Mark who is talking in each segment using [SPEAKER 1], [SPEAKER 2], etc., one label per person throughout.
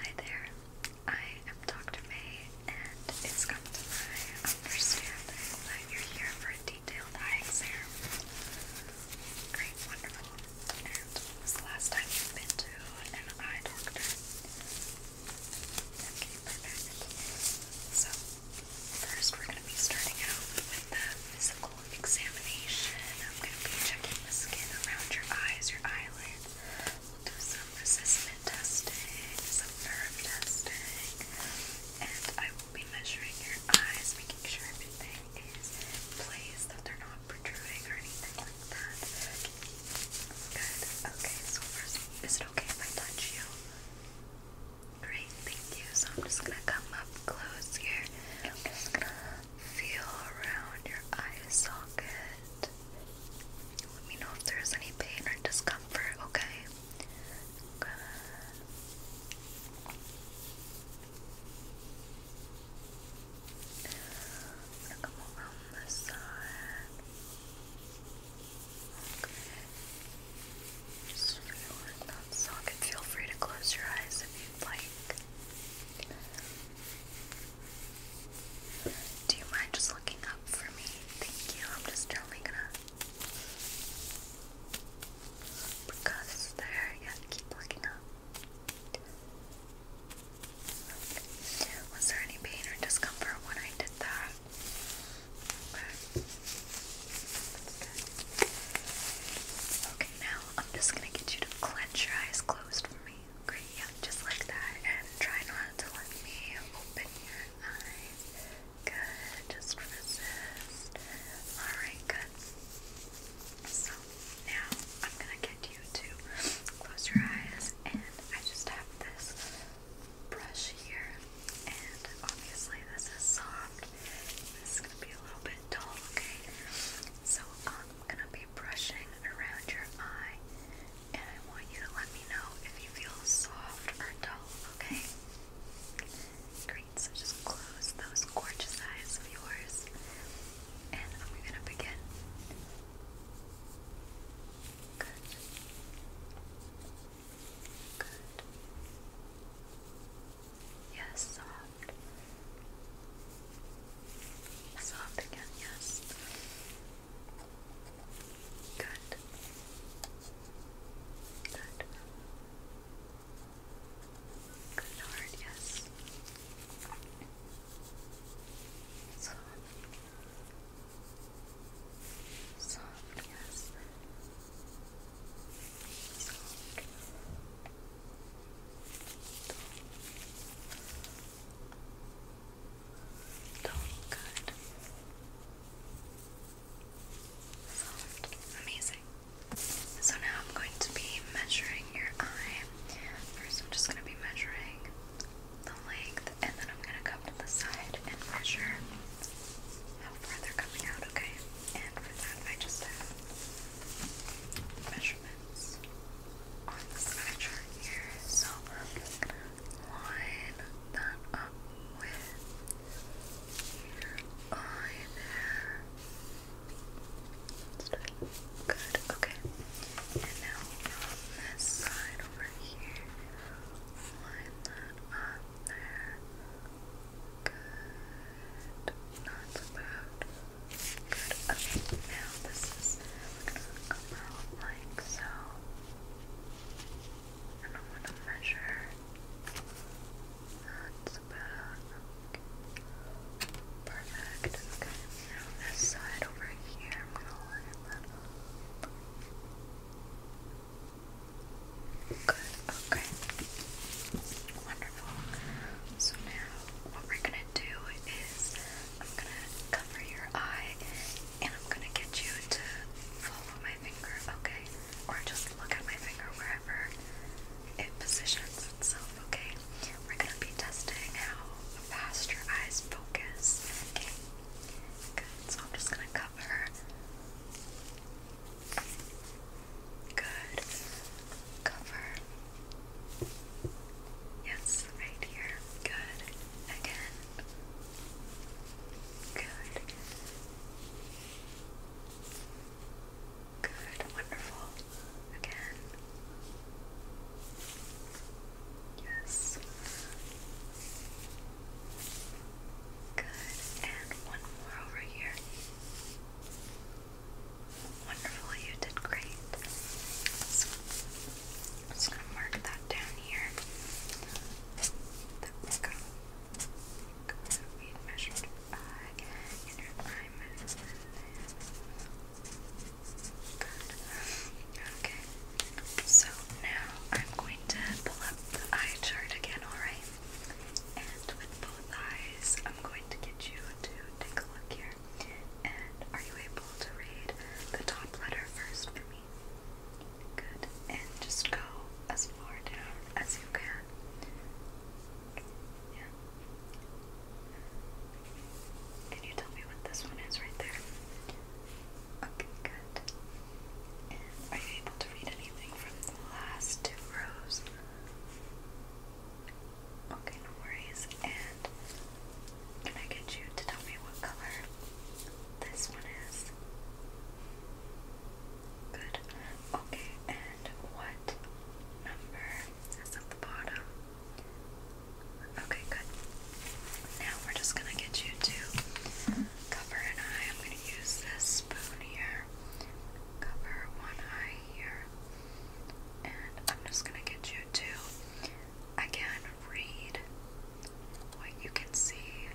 [SPEAKER 1] Hi there, I am Dr. May, and it's come to my understanding that you're here for a detailed eye exam. Great, wonderful. And when was the last time you've been to an eye doctor? Okay, perfect. So, first we're going to be starting out with the physical examination. I'm going to be checking the skin around your eyes, your eyelids. We'll do some resistance testing, some nerve testing, and I will be measuring your eyes, making sure everything is placed, that they're not protruding or anything like that. Good. Okay, so first, is it okay if I touch you? Great, thank you. So I'm just gonna come up close here. I'm just gonna feel around your eye socket it. Let me know if there's any pain or discomfort, okay? I'm gonna come around this side. Okay. Just feeling that socket. Feel free to close your eyes if you'd like. Do you mind just looking up for me? Thank you. I'm just gently gonna. Because there, yeah, keep looking up. Was there any pain or discomfort when I did that? Okay. Okay, now I'm just gonna get you to clench your eyes closed for me just like that, and try not to let me open your eyes. Good, just resist. Alright, good. So now I'm gonna get you to close your eyes, and I just have this brush here, and obviously this is soft. This is gonna be a little bit dull, okay? So I'm gonna be brushing around your eye, and I want you to let me know if you feel soft or dull, okay? Great, so just close those gorgeous eyes of yours, and I'm gonna begin. Good. Good. Yes, soft. Soft again, yes. Good. Good. Good hard, yes. Soft. Soft, yes. Soft. Total good. Soft. Amazing. So now I'm going to be measuring your eye. First, I'm just going to be measuring the length, and then I'm going to come to the side and measure how far they're coming out, okay? And for that, I just have measurement lines on the signature here. So line that up with your eye there. good. okay. And now from this side over here, line that up there. Good. Not so bad. Good. Okay, now this is like so. And I'm gonna measure. That's about perfect. Okay, now this side over here, I'm gonna line up. Good, okay. Wonderful. So now what we're gonna do is I'm gonna cover your eye and I'm gonna get you to follow my finger, okay? Or just look at my finger wherever it positions itself, okay? We're gonna be testing how fast your eyes focus, okay? Good, so I'm just gonna cover. Good. Cover. Yes, right here. Good. Again. Good. Good. Wonderful. Again. Yes. Good. And one more over here. Wonderful, you did great. I'm just gonna mark that down here. That was good. measured Okay. So now I'm going to pull up the eye chart again, alright? And with both eyes, I'm going to get you to take a look here. And are you able to read the top letter first for me? Good. And just go as far down as you can. Yeah. Can you tell me what this one is right there? Okay, good. And are you able to read anything from the last two rows? Okay, no worries. And can I get you to tell me what color this one is? Good. Okay, and what number is at the bottom? Okay, good. Now we're just gonna get you to cover an eye. I'm gonna use this spoon here. Cover one eye here. And I'm just gonna get you to Again, read what you can see.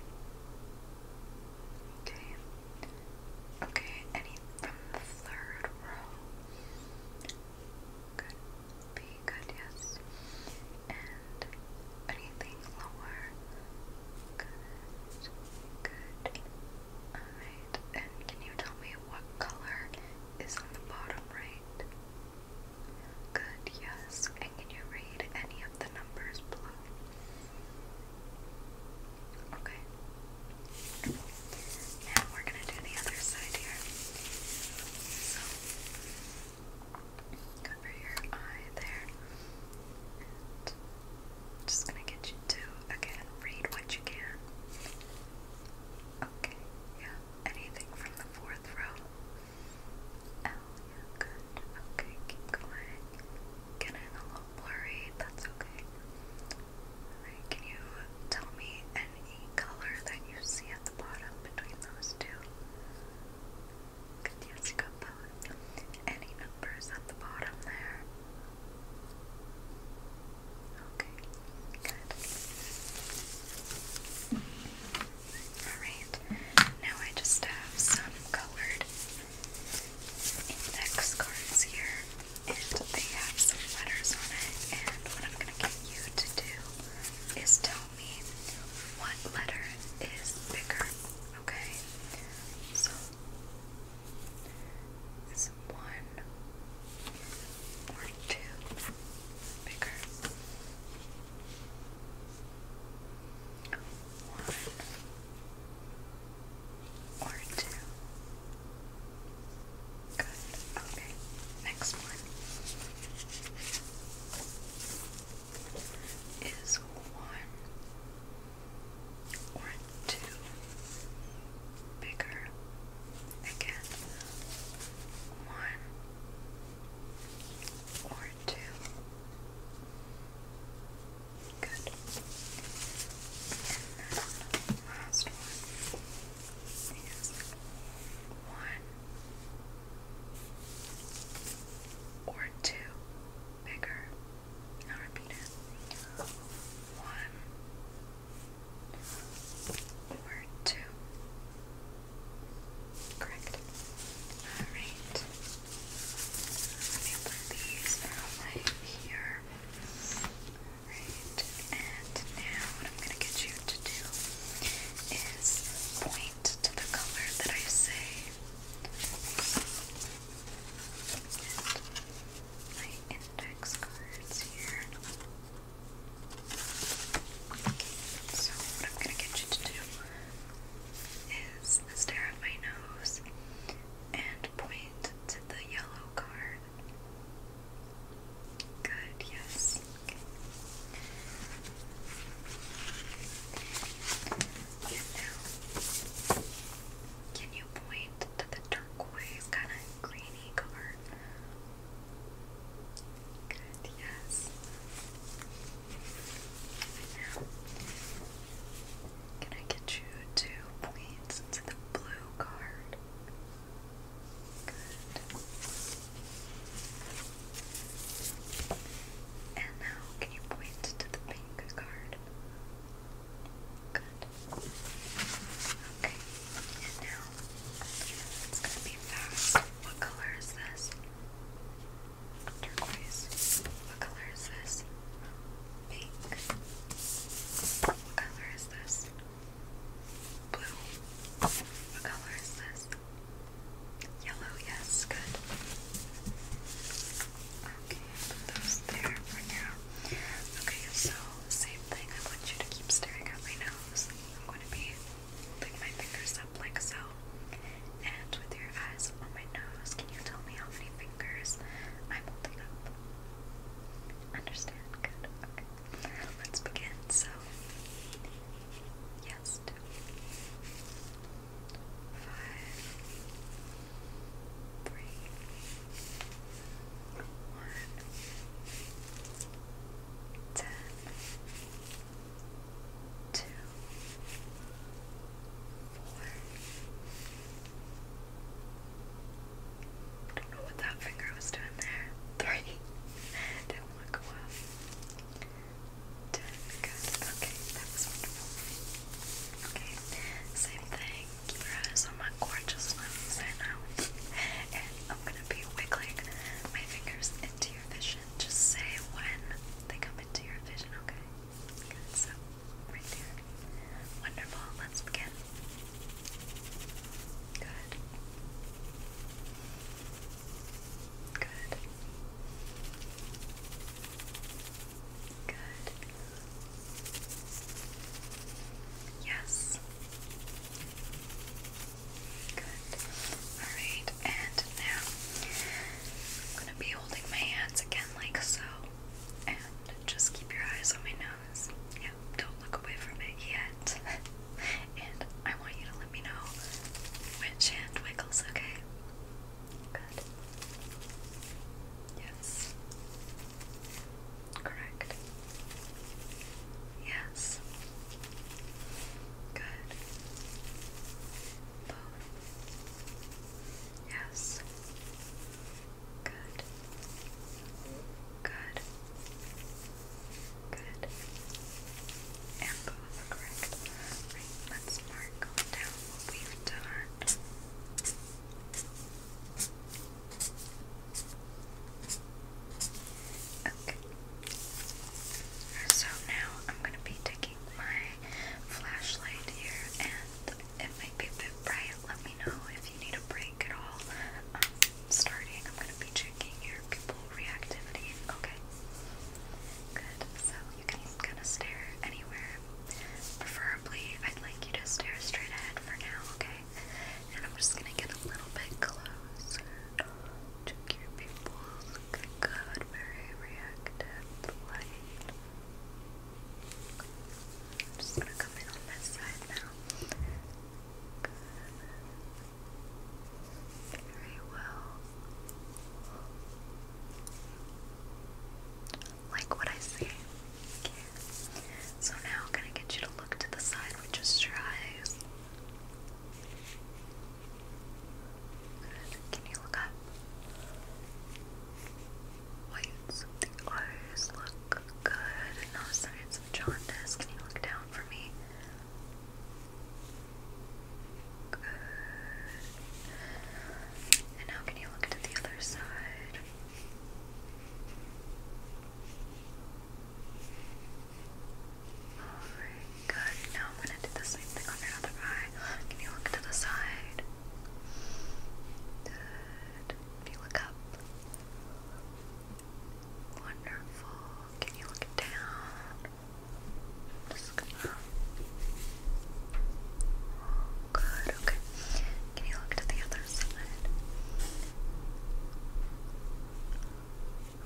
[SPEAKER 1] Okay. Okay, any from the third row. Good. Be good, yes. And anything lower. Good. Good. Alright. And can you tell me what color is on the bottom right? Good, yes. And can you read any of the numbers below? Okay. Now we're gonna do the other side here. So cover your eye there. just gonna get you to again read what you can. Okay, yeah. Anything from the fourth row Oh, good. Okay, keep going. Getting a little blurry, that's okay. Alright, can you tell me any color that you see at the bottom between those two? Good, yes, you got both. Any numbers at the bottom there? Okay, good. Alright, now I just have some colored index cards here, and they have some letters on it. And what I'm going to get you to do is tell me what letter is bigger, okay? So, is one or two bigger? One or two. Good. Okay. Next one is one or two bigger. Again, one or two. Good. last one is one or two bigger. i repeat it. One or two Correct. Alright. Let me put right here. Alright. And now what I'm going to get you to do is point to the color that I say. And my index cards here. So, what I'm going to get you to do is stare at my nose and point to the yellow card. Good, yes. Okay. And now, can you point to the turquoise, kind greeny card? Good, yes. Now, can I get you two points to the blue card? Good. And now, can you point to the pink card? Good. Okay, and now it's going to be fast. What color is this? Turquoise. What color is this? Pink. What color is this? Blue. What color is this? Yellow, yes, good. Okay, those there for now. Okay, so same thing. I want you to keep staring at my nose. I'm going to be holding my fingers up like so, and with your eyes on my nose, can you tell me how many fingers I'm holding up? Understand? Good. Okay. Let's begin. So, yes, two, five, three, one, ten, two, four. don't know what that finger was doing there. Three. Didn't Okay, that was wonderful. Okay, same thing. Keep your eyes on my gorgeous limbs right now. and I'm gonna be wiggling my fingers into your vision. Just say when they come into your vision, okay? so right there. Wonderful, let's begin. Good. Good. Good. Yes. Good. Alright, and now I'm gonna be holding my hands again like so. And just keep your eyes on my nose. Yeah, don't look away from it yet. and I want you to let me know which hand wiggles, okay? Good. Yes. Correct. Yes. Good. Both. Yes. Good. Good. Good. And both correct. let's mark down what we've done. Okay. So now I'm going to be taking my flashlight here, and it might be a bit bright. Let me know if you need a break at all. Um, starting, I'm going to be checking your pupil reactivity. Okay. Good. So you can kind of stare anywhere. Preferably, I'd like you to stare straight ahead for now, okay? And I'm just going to get a little bit closer. Check your pupils. good very reactive light. I'm just gonna come in on this side now. Very well. Like what I see. Okay. So now I'm gonna get you to look to the side with just your eyes. Can you look up? Whites the eyes look good. No signs of jaundice. Can you look down for me? Good. And now can you look to the other side? Alright, good. Now I'm gonna do the same thing on your other eye. Can you look to the side? Good. If you look up. Wonderful. Can you look down? Just going Oh good, okay. Can you look to the other side?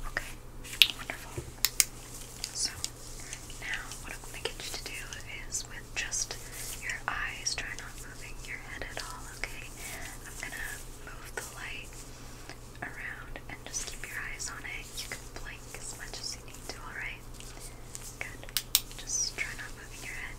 [SPEAKER 1] Okay, wonderful. So now what I'm gonna get you to do is with just your eyes, try not moving your head at all, okay? I'm gonna move the light around and just keep your eyes on it. You can blink as much as you need to, alright? Good. Just try not moving your head.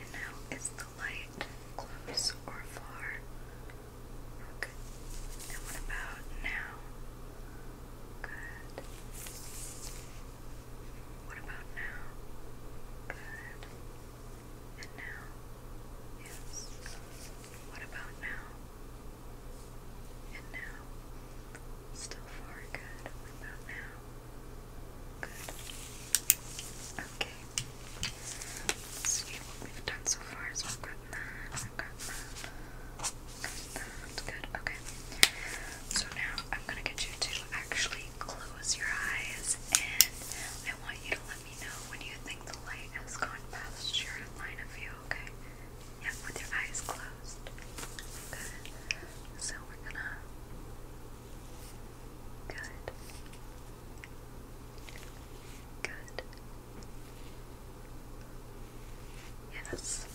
[SPEAKER 1] And now is the light close or far? Okay. And what about now? Good. What about now? Good. And now? Yes. What about now? And now? Still far. Good. What about now? Good. Okay. let what we've done so far. So I've got that, I've got that, Good. Okay. So now I'm gonna get you to actually close your eyes, and I want you to let me know when you think the light has gone past your line of view. Okay. Yeah, with your eyes closed. Good. So we're gonna Good. Good. Yes.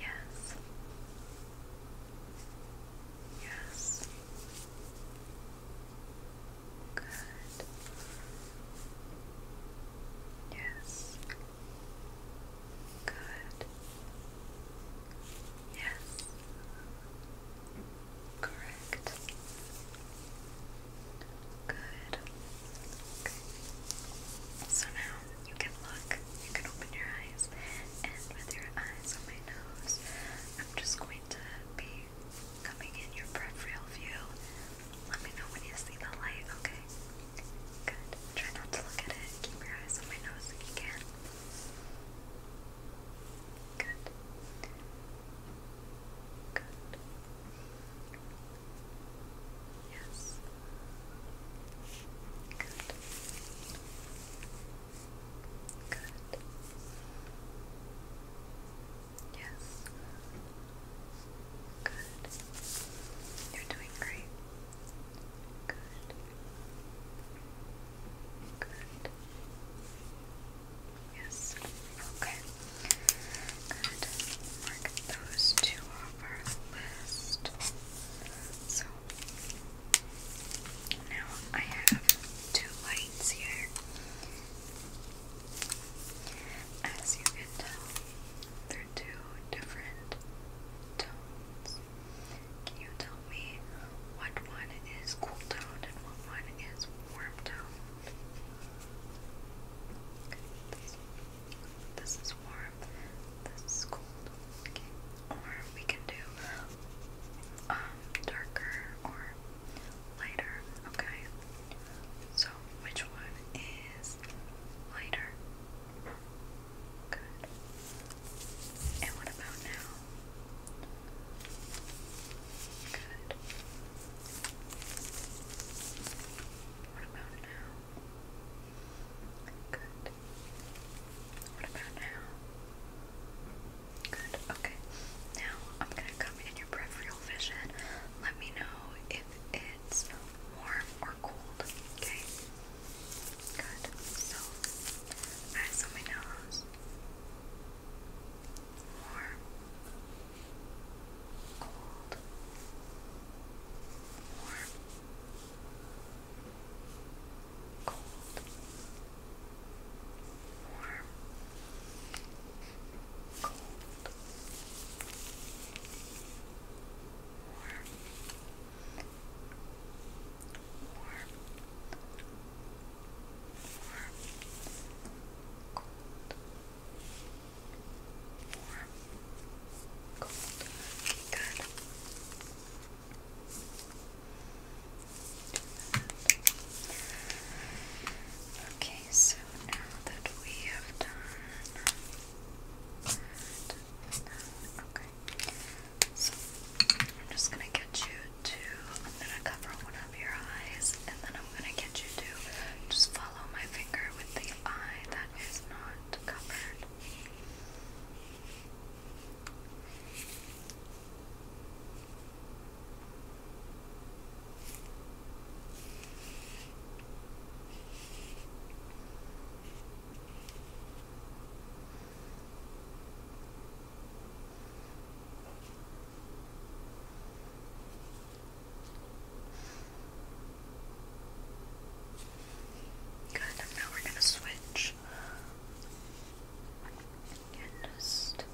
[SPEAKER 1] Yes. Yes. Good. Yes. Good. Good. Yes. Correct. Good. Okay. So now you can look, you can open your eyes, and with your eyes on my nose, I'm just going to be coming in your peripheral view. Let me know when you see the light, okay? Good. Try not to look at it. Keep your eyes on my nose if you can. Good. Good. Yes. Good. Good. Yes. Good. You're doing great. Good. Good. Yes. Okay. Good. Mark those two off our list. So now I have two lights here. As you can tell, they're two different tones. Can you tell me what one is cool toned and what one is warm toned? this, is warm, this is cold. Okay. Or we can do um, darker or lighter. Okay. So which one is lighter? Good. And what about now? Good. What about now? Good. What about now? Good. Okay. Now I'm going to come in your peripheral vision. Let me know if it's warm or cold. Okay. Good. So, eyes on my nose. Warm. Cold. Warm. Cold. Warm. Cold. Warm warm, warm, Okay, so now that we have done that, okay. So I'm just gonna get you to I'm gonna cover one of your eyes and then I'm gonna get you to just follow my finger with the eye that is not covered. Good, now we're going to switch just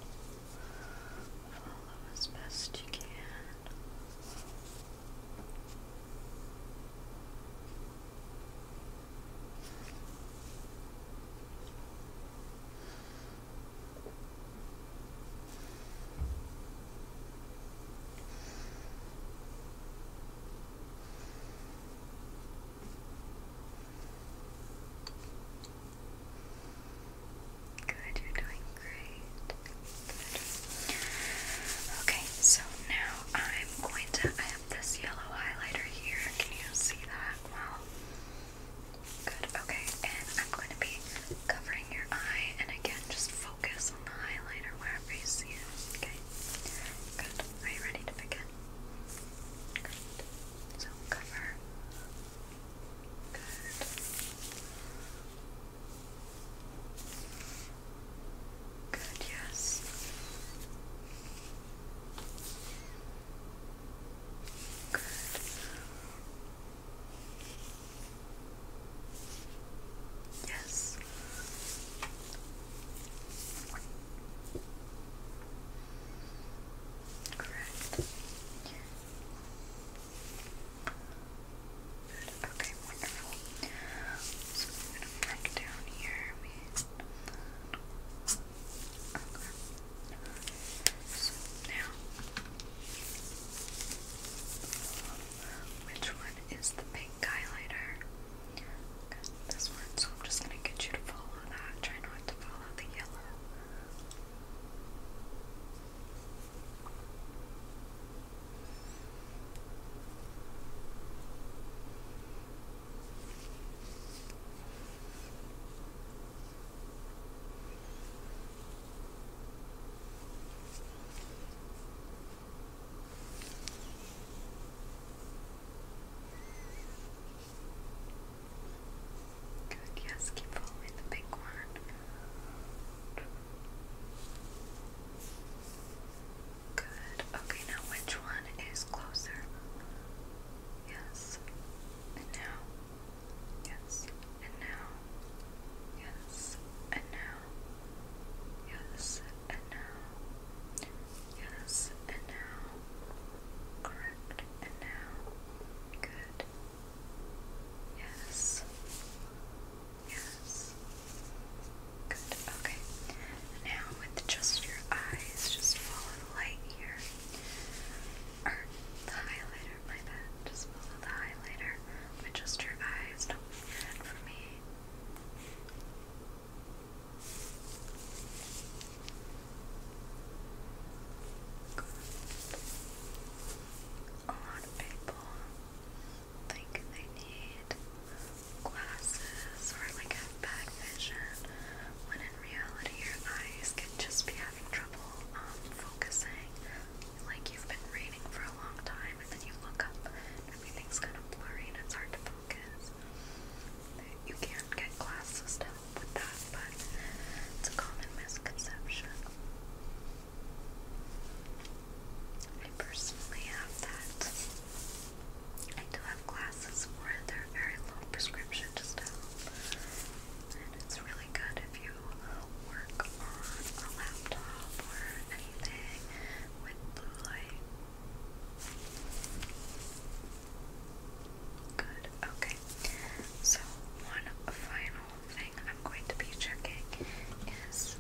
[SPEAKER 1] follow as best you can. Good, you're doing great. Okay, so now I'm going to, I have this yellow highlighter here. Can you see that well? Good, okay. And I'm going to be covering your eye, and again, just focus on the highlighter wherever you see it. Okay, good. Are you ready to begin? Good. So cover. Good. Good, yes. Good. Yes. Correct. Okay, wonderful. So I'm gonna back down here. So which one is the pink highlighter? this one. So I'm just gonna get you to follow that. Try not to follow the yellow. Good, yes, keep following the big one. Good. Okay, now which one is closer? Yes. And now. Yes. And now. Yes. And now. Yes. And now. Yes. And now. Correct. And now. Good. Yes. Yes. Good, okay. Now, with just your eyes, just follow the light here. Or the highlighter, my bad. Just follow the highlighter with just your eyes. Don't move your head for me. Good. A lot of people think they need glasses or like have bad vision when in reality your eyes can just be having trouble um, focusing. Like you've been reading for a long time and then you look up everything's kind of blurry and it's hard to focus. You can get glasses to help with that, but it's a common misconception. I personally have that. I do have glasses for it. They're very low prescription just it's really good if you work on a laptop or anything with blue light. Good, okay. So, one final thing I'm going to be checking is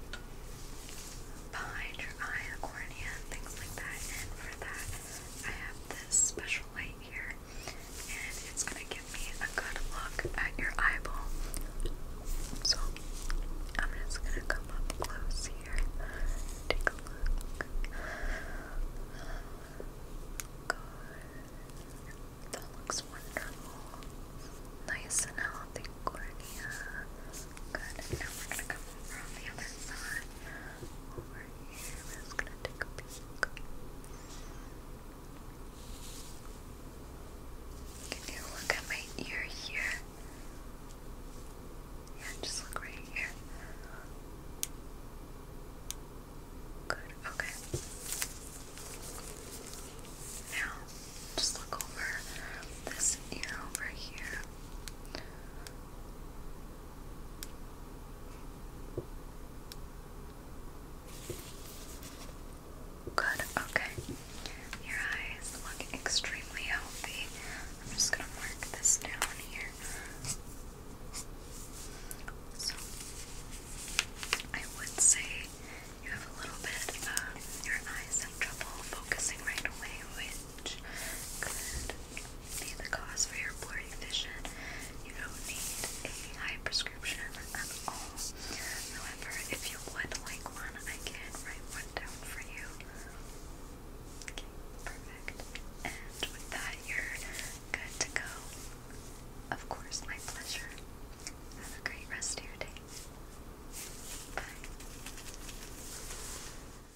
[SPEAKER 1] behind your eye, cornea, things like that. And for that, I have this special light here, and it's gonna give me a good look at your eyeball. So I'm just gonna come up close here, take a look. That looks wonderful. Nice and healthy cornea. Good. And now we're gonna come over the other side over here. we gonna take a peek. Can you look at my ear here? Yeah, just look right here. Good, okay. Now, just look over this ear over here. Good, okay. Your eyes look extremely healthy. I'm just gonna mark this down here. So, I would say you have a little bit of your eyes have trouble focusing right away, which could see the cause for your blurry vision. You don't need a high prescription at all. However, if you would like one, I can write one down for you. perfect. And with that, you're good to go. Of course, my pleasure. Have a great rest of your day. Bye.